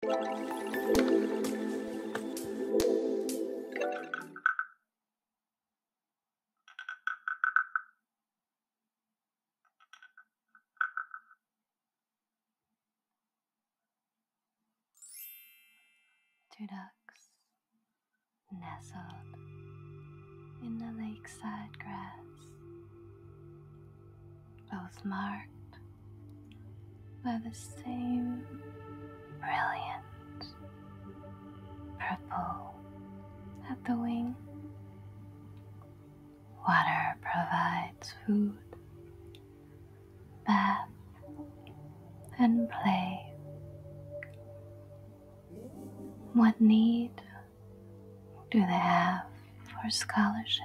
Two ducks nestled in the lakeside grass both marked by the same brilliant purple at the wing. Water provides food, bath, and play. What need do they have for scholarship?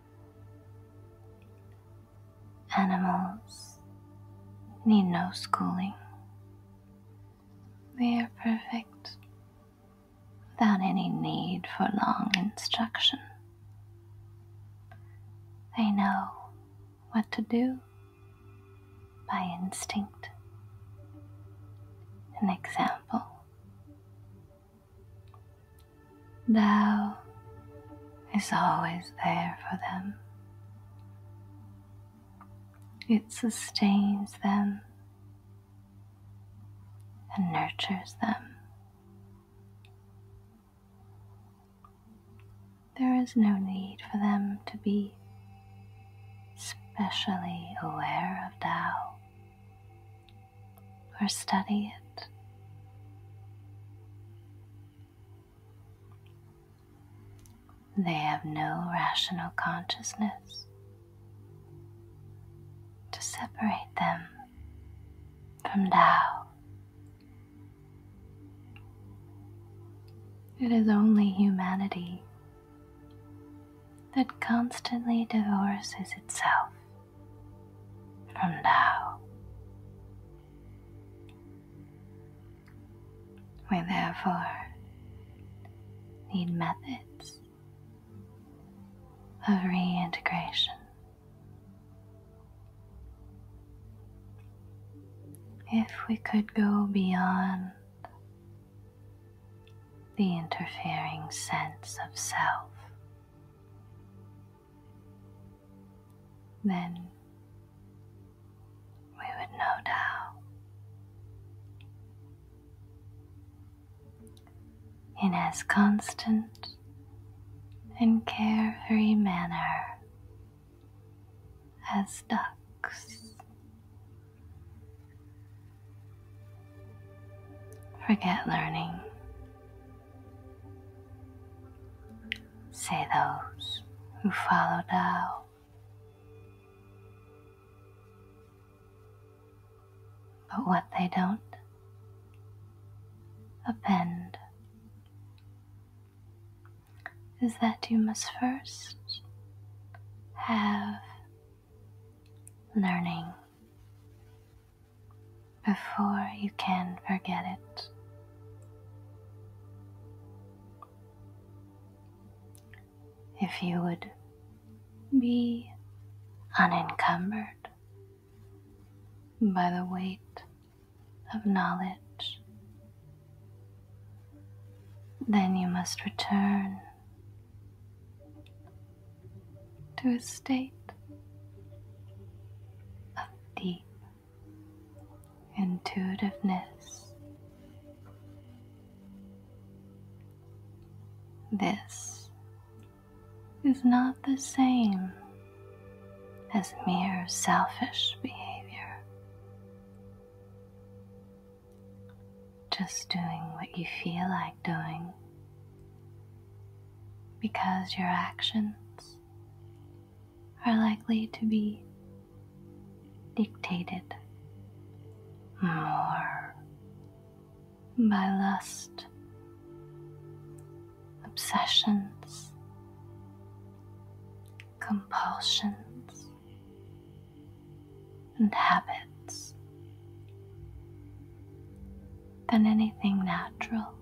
Animals need no schooling. They are perfect without any need for long instruction. They know what to do by instinct. and example Thou is always there for them. It sustains them and nurtures them. There is no need for them to be specially aware of Tao or study it. They have no rational consciousness to separate them from Tao. It is only humanity that constantly divorces itself from now. We therefore need methods of reintegration. If we could go beyond the interfering sense of self then we would know Tao. In as constant and carefree manner as ducks. Forget learning Say those who follow Tao. But what they don't append is that you must first have learning before you can forget it. If you would be unencumbered by the weight of knowledge, then you must return to a state of deep intuitiveness. This is not the same as mere selfish behavior. Just doing what you feel like doing because your actions are likely to be dictated more by lust, obsessions, compulsions, and habits than anything natural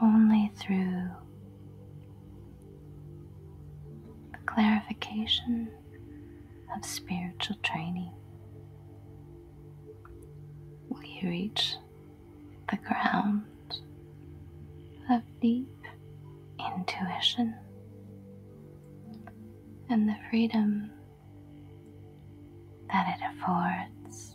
only through the clarification of spiritual training will you reach the ground of deep intuition and the freedom that it affords.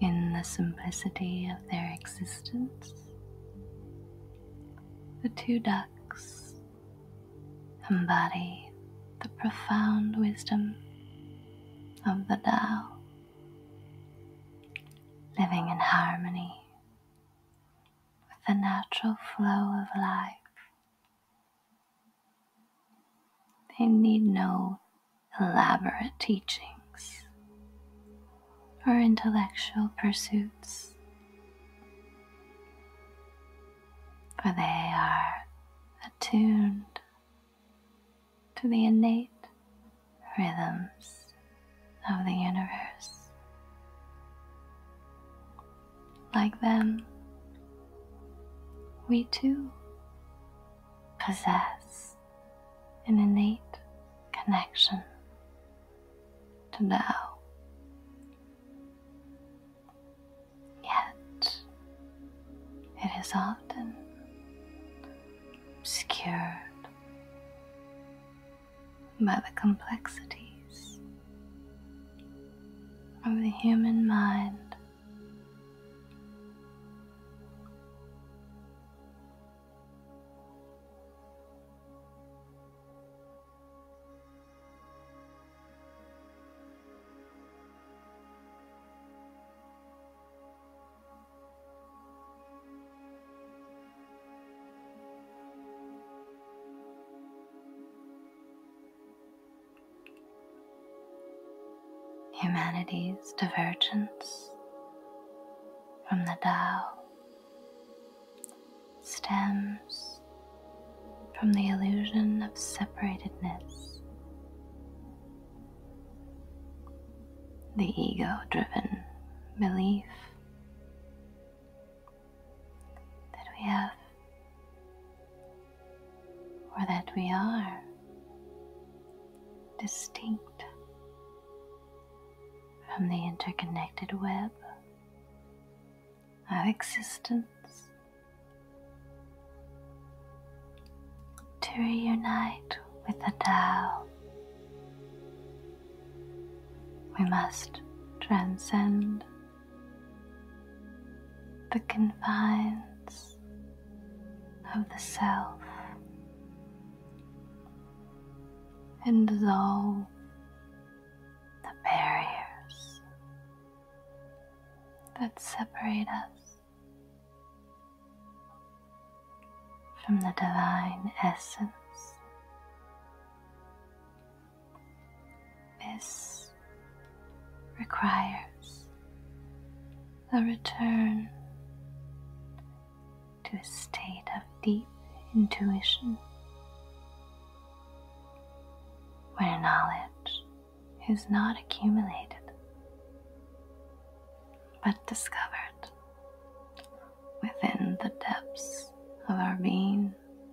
In the simplicity of their existence, the two ducks embody the profound wisdom of the Tao, living in harmony with the natural flow of life they need no elaborate teachings or intellectual pursuits, for they are attuned to the innate rhythms of the universe. Like them, we too possess an innate connection to now. Yet, it is often obscured by the complexities of the human mind. Humanity's divergence from the Tao stems from the illusion of separatedness. The ego driven belief that we have or that we are distinct from the interconnected web of existence. To reunite with the Tao, we must transcend the confines of the self and dissolve the barriers that separate us from the divine essence this requires a return to a state of deep intuition where knowledge is not accumulated but discovered within the depths of our being.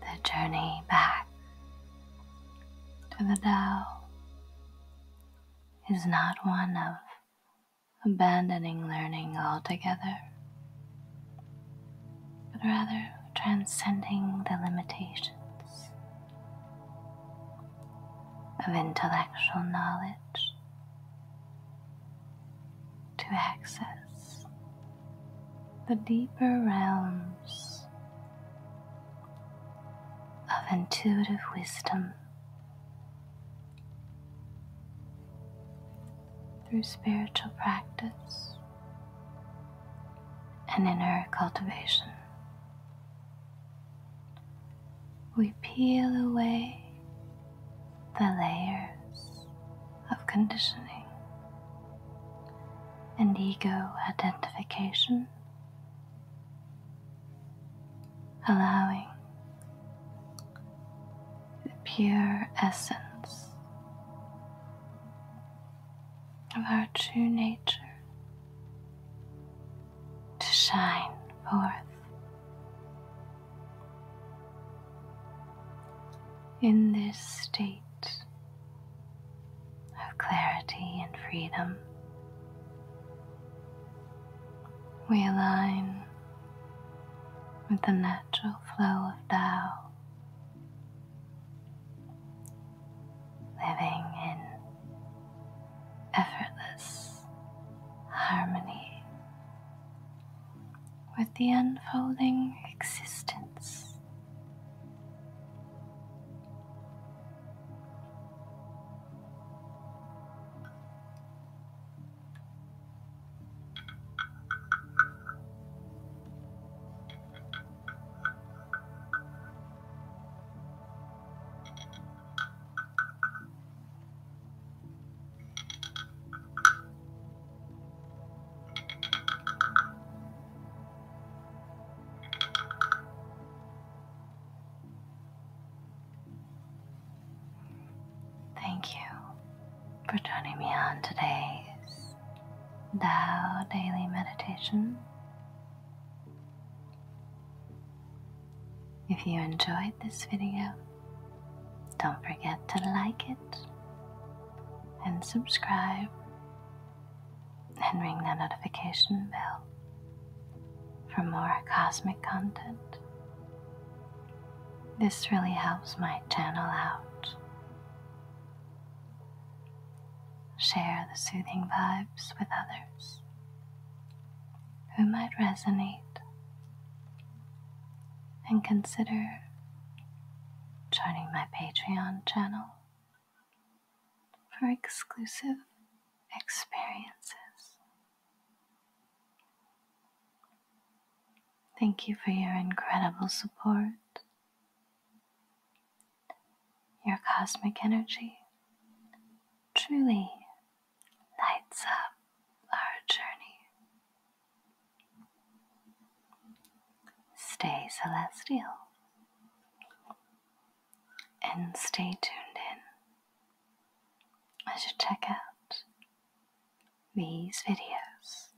The journey back to the Tao is not one of abandoning learning altogether, but rather transcending the limitations of intellectual knowledge to access the deeper realms of intuitive wisdom through spiritual practice and inner cultivation we peel away the layers of conditioning and ego identification, allowing the pure essence of our true nature to shine forth. In this state of clarity and freedom, we align with the natural flow of Tao, living in effortless harmony with the unfolding existence. Thank you for joining me on today's Tao Daily Meditation. If you enjoyed this video, don't forget to like it and subscribe and ring that notification bell for more cosmic content. This really helps my channel out. Share the soothing vibes with others who might resonate, and consider joining my Patreon channel for exclusive experiences. Thank you for your incredible support, your cosmic energy truly lights up our journey. Stay celestial and stay tuned in as you check out these videos.